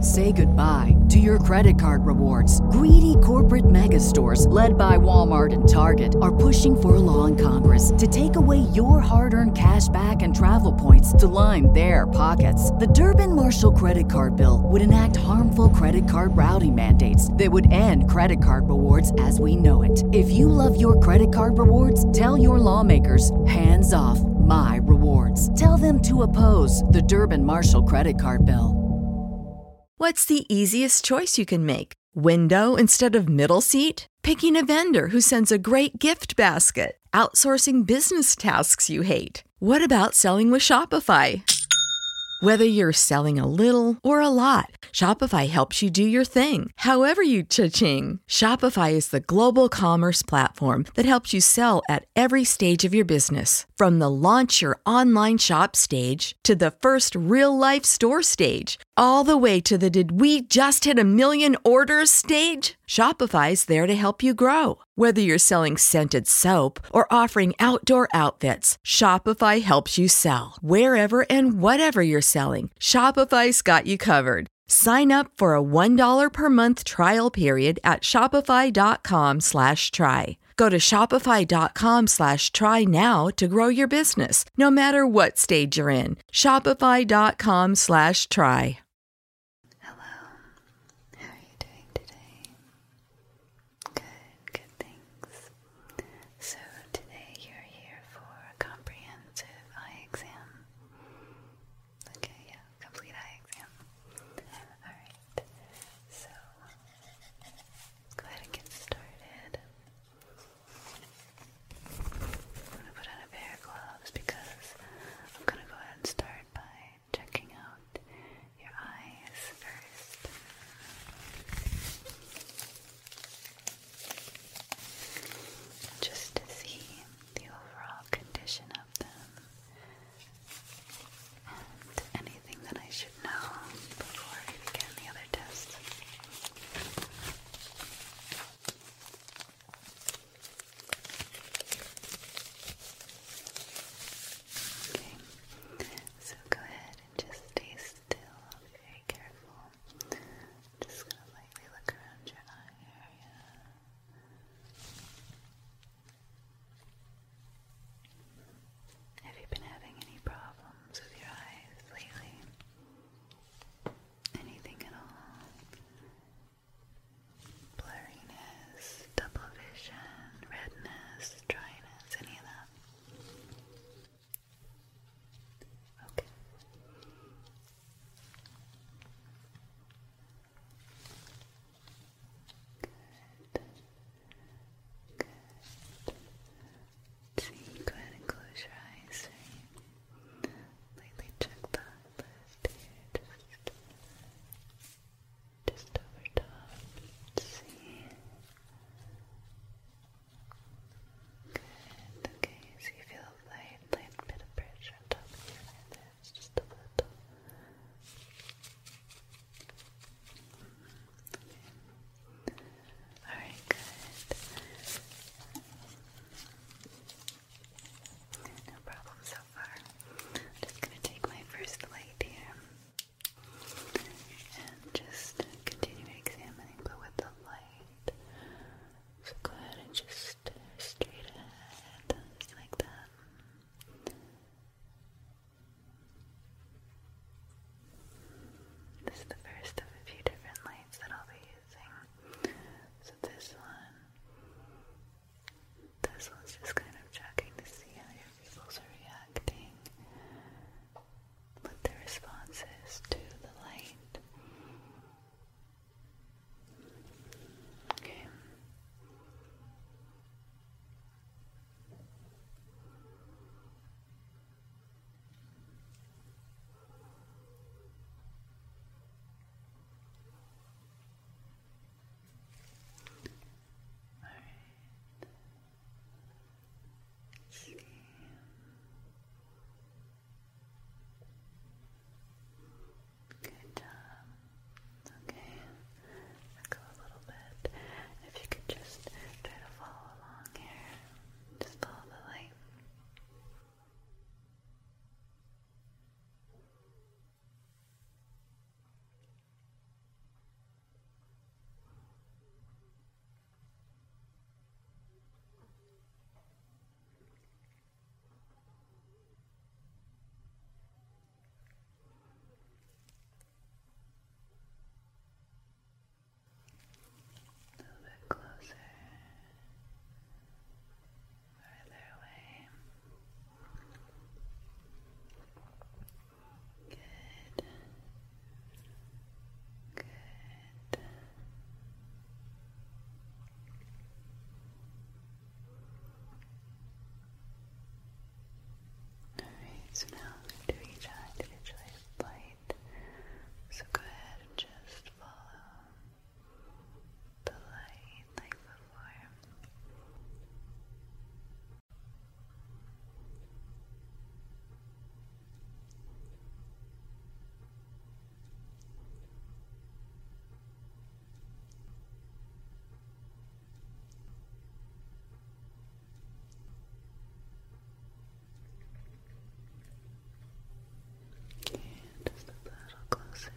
Say goodbye to your credit card rewards. Greedy corporate mega stores, led by Walmart and Target, are pushing for a law in Congress to take away your hard earned cash back and travel points to line their pockets. The Durbin Marshall credit card bill would enact harmful credit card routing mandates that would end credit card rewards as we know it. If you love your credit card rewards, tell your lawmakers hands off my rewards. Tell them to oppose the Durban Marshall credit card bill. What's the easiest choice you can make? Window instead of middle seat? Picking a vendor who sends a great gift basket? Outsourcing business tasks you hate? What about selling with Shopify? Whether you're selling a little or a lot, Shopify helps you do your thing, however you cha-ching. Shopify is the global commerce platform that helps you sell at at every stage of your business, from the launch your online shop stage to the first real life store stage, all the way to the did we just hit a million orders stage? Shopify's there to help you grow. Whether you're selling scented soap or offering outdoor outfits, Shopify helps you sell. Wherever and whatever you're selling, Shopify's got you covered. Sign up for a $1 per month trial period at Shopify.com shopify.com try. Go to shopify.com slash try now to grow your business, no matter what stage you're in. Shopify.com slash try. Hello. How are you doing today? Good, good things. So today you're here for a comprehensive eye exam. Okay, yeah, complete eye exam. Alright, so let's go ahead and get started. I'm gonna put on a pair of gloves because I'm gonna go ahead and start by checking out your eyes first. Just to see the overall condition of them and anything that I should know before we begin the other test. Okay, so go ahead and just stay still, very careful. Just gonna lightly look around your eye area. Have you been having any problems with your eyes lately? Anything at all? Blurriness, double vision, redness, dryness, any of that? Okay. Good. Good. See, go ahead and close your eyes. Right? check that left here. Just, just over top. See. Good. Okay. So you feel a light, light bit of pressure on top of your eyelids, just over the Okay. All right, good. No problem so far. just going to take my first light here and just continue examining, but with the light. So go ahead and just straight ahead, just like that. This is the first of a few different lights that I'll be using. So this one, this one's just kind of checking to see how your pupils are reacting, what the response is to the light. Okay. All see. Good job. Um, okay. Echo a little bit. If you could just try to follow along here. Just follow the light. A little bit closer, further away. Good. Good. Alright, so now I'm going to do each eye individually light. So go ahead and just follow the light like before. Okay, just a little closer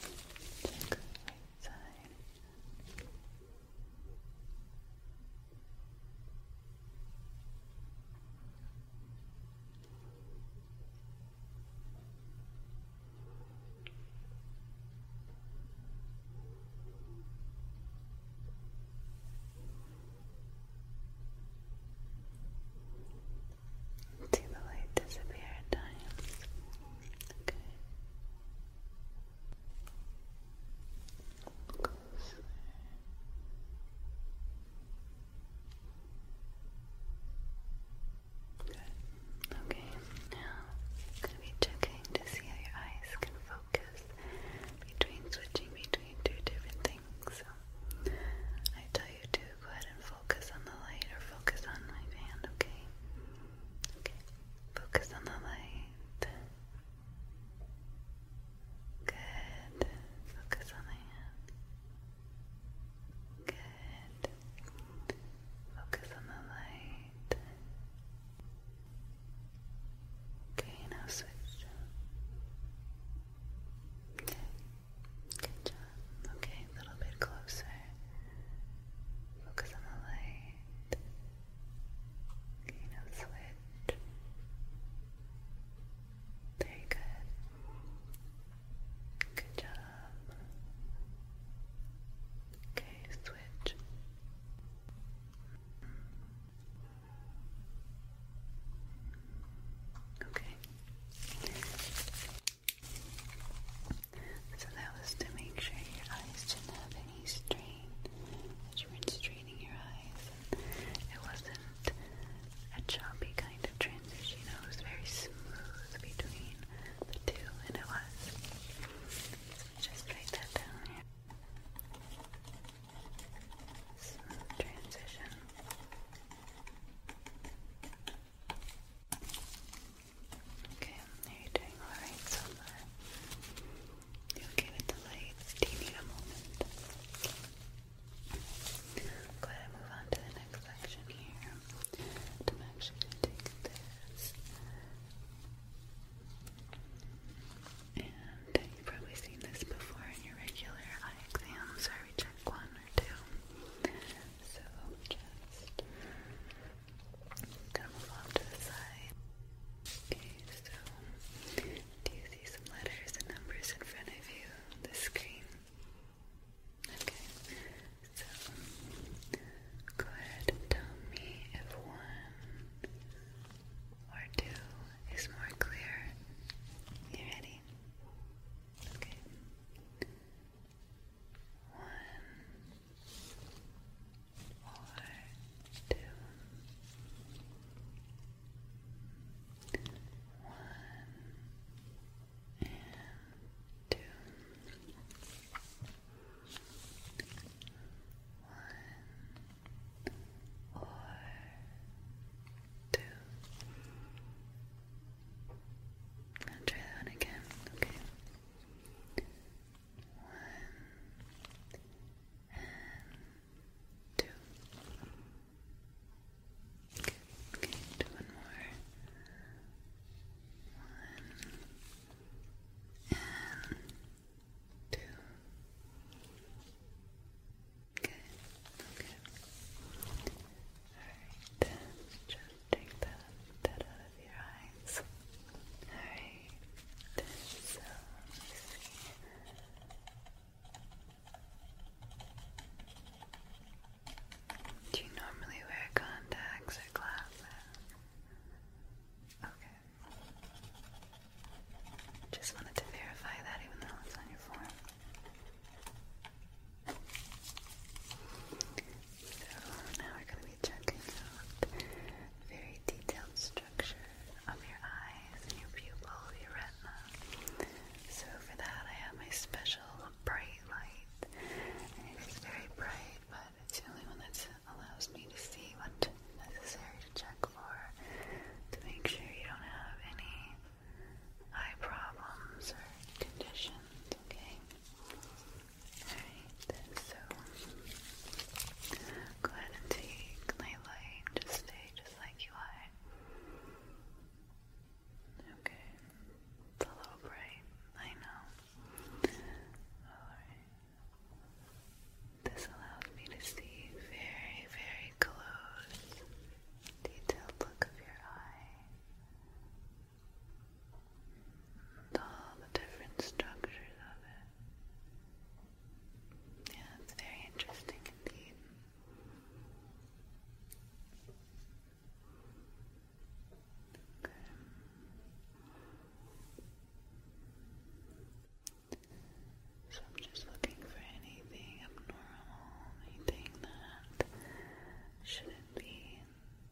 Okay. Check the right side. See the light disappear at Okay. Go Okay, now I'm going to be checking to see how your eyes can focus between switching between two different things. So I tell you to go ahead and focus on the light or focus on my hand, okay? Okay. Focus on the light. Good. Focus on the hand. Good. Focus on the light. Okay, now switch. Okay. Good job. Okay, a little bit closer. Focus on the light. Okay, now switch. Very good. Good job. Okay, switch. Okay. So that was to make sure your eyes didn't have any strain, that you weren't straining your eyes. It wasn't a choppy kind of transition, it was very smooth between the two, and it was. So just write that down here. Smooth transition. Okay, are you doing alright so You okay with the light? Do you need a moment? Go ahead move on to the next section here. And actually take this. And you've probably seen this before in your regular eye exams where we check one or two. So just i to move off to the side. Okay, so do you see some letters and numbers in front of you the screen? Okay, so go ahead and tell me if one or two is more clear. You ready? Okay. One, or two, and two, one, or two. try that one again, okay? One and two. Good. Okay, do more. One and two. Good. Okay. Alright, just Take that, that out of your eyes. Alright, so Do you normally wear contacts or glasses? Okay. Just wanted to verify that even though it's on your form. So now we're going to be checking out very detailed structure of your eyes and your pupil, your retina. So for that I have my special bright light. And it is very bright, but it's the only one that allows me to see what's necessary to check for to make sure you don't have any eye problems or conditions, okay? Alright, so go ahead and take my just stay just like you are. Okay. It's a little bright, I know. Alright. This allows me to see very, very close detailed look of your eye with all the different structures of it. Yeah, it's very interesting indeed. Okay. So I'm just looking for anything abnormal, anything that shouldn't be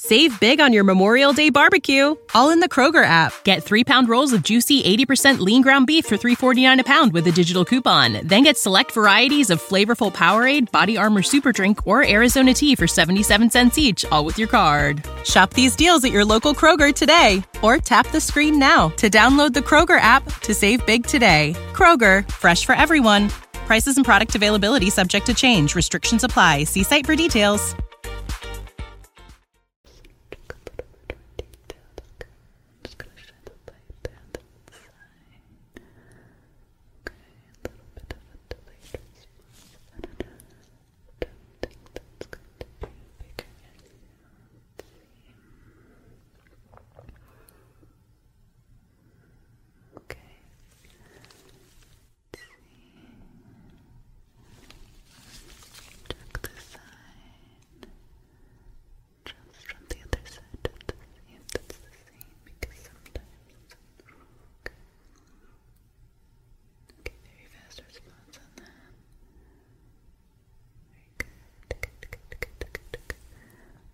Save big on your Memorial Day barbecue, all in the Kroger app. Get three pound rolls of juicy 80% lean ground beef for 3.49 a pound with a digital coupon. Then get select varieties of flavorful Powerade, Body Armor Super Drink, or Arizona tea for 77 cents each, all with your card. Shop these deals at your local Kroger today, or tap the screen now to download the Kroger app to save big today. Kroger, fresh for everyone. Prices and product availability subject to change. Restrictions apply. See site for details. Okay. let see. Check the side. Just from the other side see if that's the same because sometimes okay. very fast response on that. Very good. Good, good, good, good, good.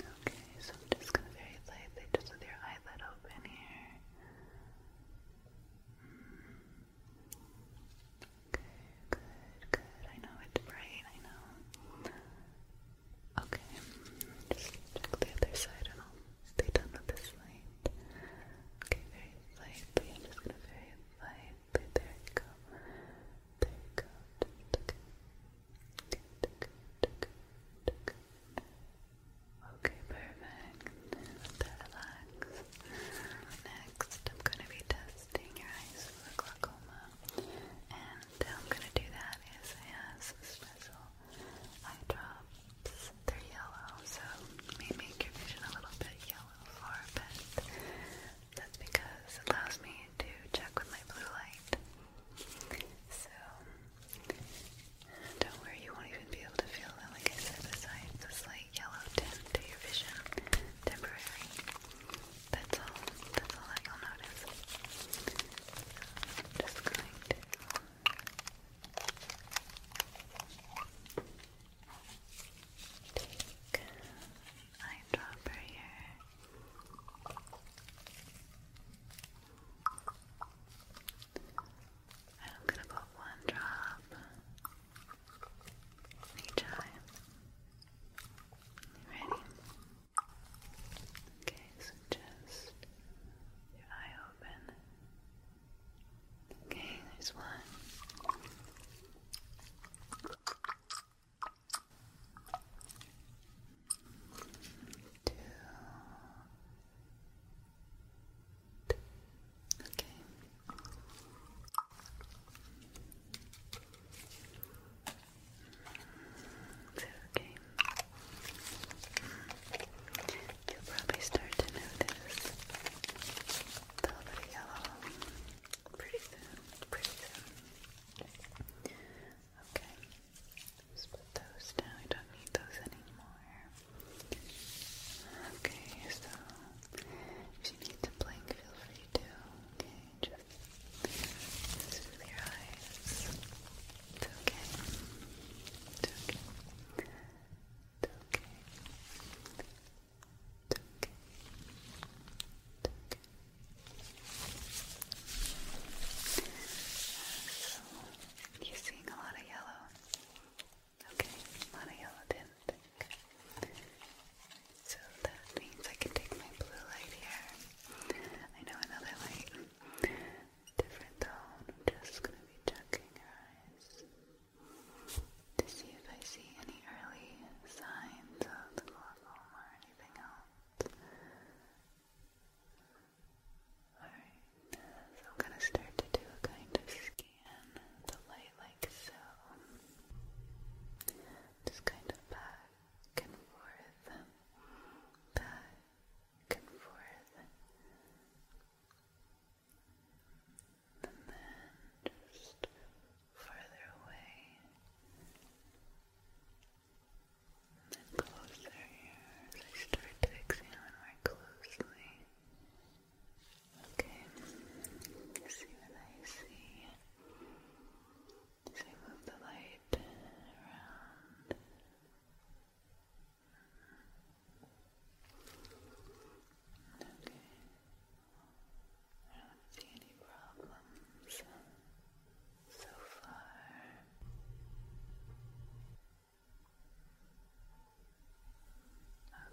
Okay, so I'm just gonna very lightly, just with your eyelid open here. Mm. Okay, good, good. I know it's bright, I know. Okay, just check the other side and I'll stay done with this light. Okay, very lightly. just gonna very lightly. There you go. There you go. Just okay. Okay, perfect. Let that relax. Next, I'm going to be testing your eyes for glaucoma. And how I'm going to do that is I have special eye drops. They're yellow, so may make your vision a little bit yellow for a bit. That's because it allows me to check with my blue light. So, don't worry, you won't even be able to feel that, like I said, besides the slight yellow tint to your vision. Temporary. That's all. That's all that will notice. just going to. Take eyedropper here and I'm gonna put one drop each eye. Ready? Okay, so just your eye open. Okay, there's one. Two. Okay. It's okay. You'll probably start to notice a little yellow pretty soon, pretty soon. Okay. Just put those down. I don't need those anymore. Okay, so if you need to blink, feel free to. Okay, just smooth your eyes. okay. okay. okay. okay you're seeing a lot of yellow. Okay, a lot of yellow tint. So that means I can take my blue light here. I know another light. Different tone. I'm just gonna be checking your eyes to see if I see any early signs of glaucoma or anything else. Alright, so I'm going to start to do a kind of scan the light like so. Just kind of back and forth, back and forth. And then just further away. Then close their ears. I start to examine more closely. Okay, see what I see. So I move the light around. Okay. I don't see any problems so far.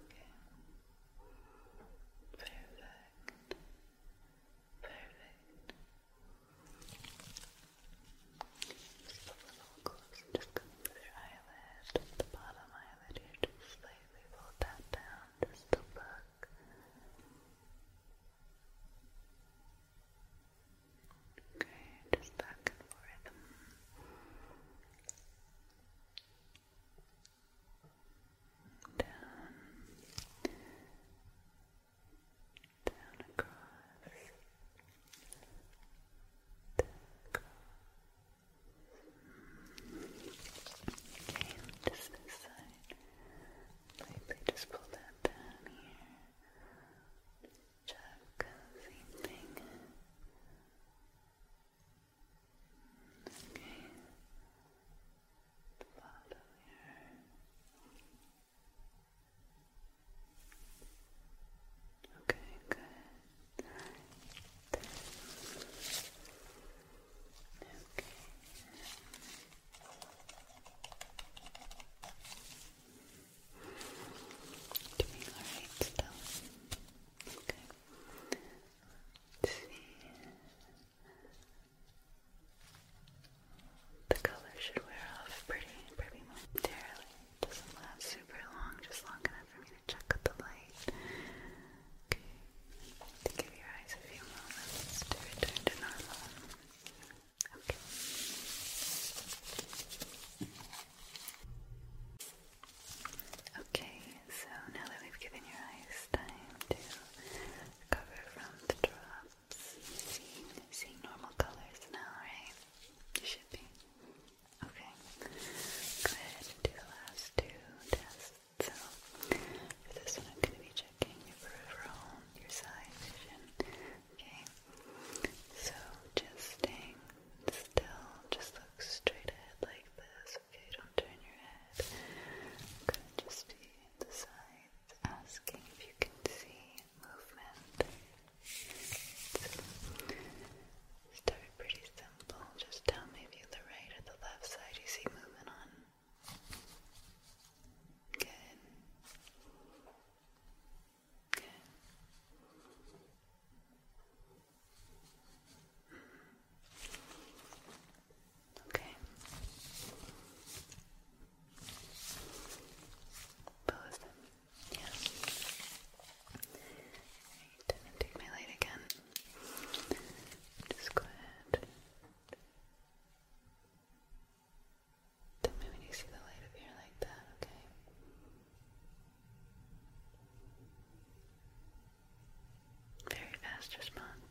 Okay. Perfect. Perfect. Just a little closer, just come eyelid, the bottom eyelid just slightly fold that down, just to look Okay, just back and forth. Down, down across, down Okay, just this side. Lightly just pull that down here. Check, same thing. Okay. The bottom here. Okay, good. Then. Okay. Doing alright still. see. The color should wear off pretty pretty momentarily. Doesn't last super long, just long enough for me to check out the light. Okay. To give your eyes a few moments to return to normal. Okay. Okay, so now that we've given your eyes time to recover from the drops, seeing, normal colors now, right? You should be. Okay, go ahead and do the last two tests. So, for this one, going to be checking your peripheral, your side vision. Okay, so just staying still, just look straight ahead like this. Okay, don't turn your head. i to just be at the sides, asking if you can see movement. start pretty simple. Just tell me if you the right or the left side you see movement on. Good. Good. Okay. Both Yeah. Right, take my light again. Just go ahead. Tell me when you see the light appear like that, okay? Very fast response.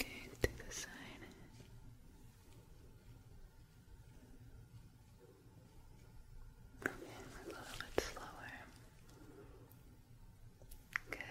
Okay, to the side. Okay, a little bit slower. Good. Okay. Good.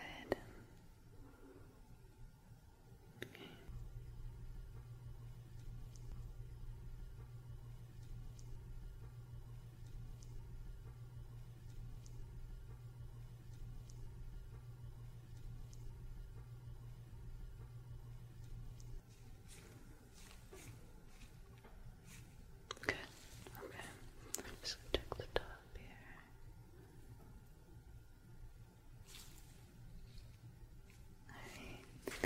Okay. just check the top up Alright,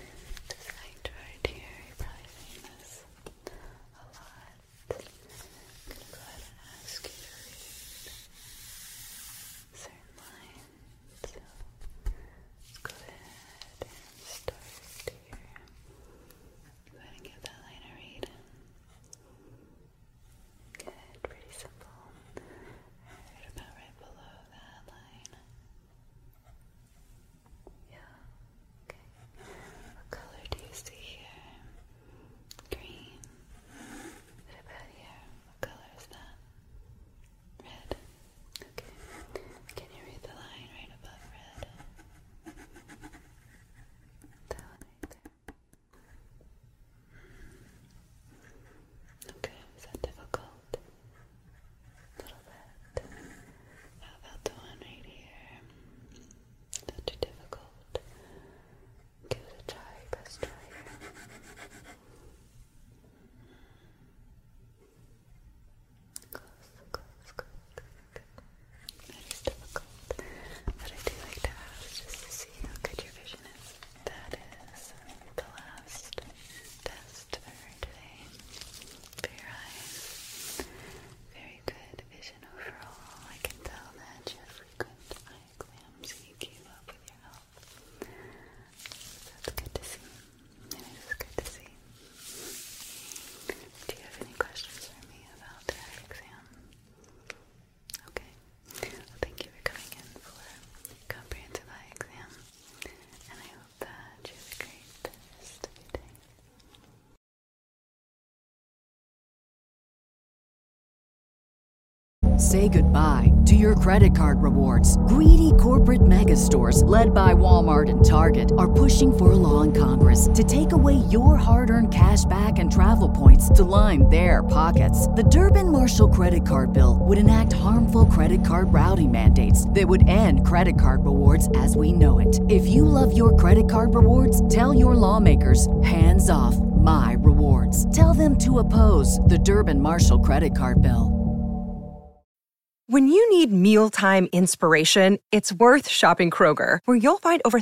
this light right here, you probably seeing this a lot. go ahead and ask you certain lines. let's go ahead and start here. Go ahead and give that line a read. Good, pretty simple. Right about right below that line. Yeah, okay. What color do you see here? Green. What about here? What color is that? Red. Okay. Can you read the line right above red? one right there. Okay, is that difficult? A little bit. How about the one right here? Not too difficult. Give it a try, best try Close, close, close. That is difficult. But I do like to ask to see how good your vision is. That is um, the last test for today your eyes. Very good vision overall. I can tell that your frequent eye exams you up with your health. that's good to see. It is good to see. Do you have any questions for me about the exam? Okay. thank you for coming in for comprehensive eye exam, and I hope that you have a great day. Say goodbye to your credit card rewards. Greedy corporate mega stores, led by Walmart and Target, are pushing for a law in Congress to take away your hard earned cash back and travel points to line their pockets. The Durban Marshall credit card bill would enact harmful credit card routing mandates that would end credit card rewards as we know it. If you love your credit card rewards, tell your lawmakers hands off my rewards. Tell them to oppose the Durban Marshall credit card bill. When you need mealtime inspiration, it's worth shopping Kroger, where you'll find over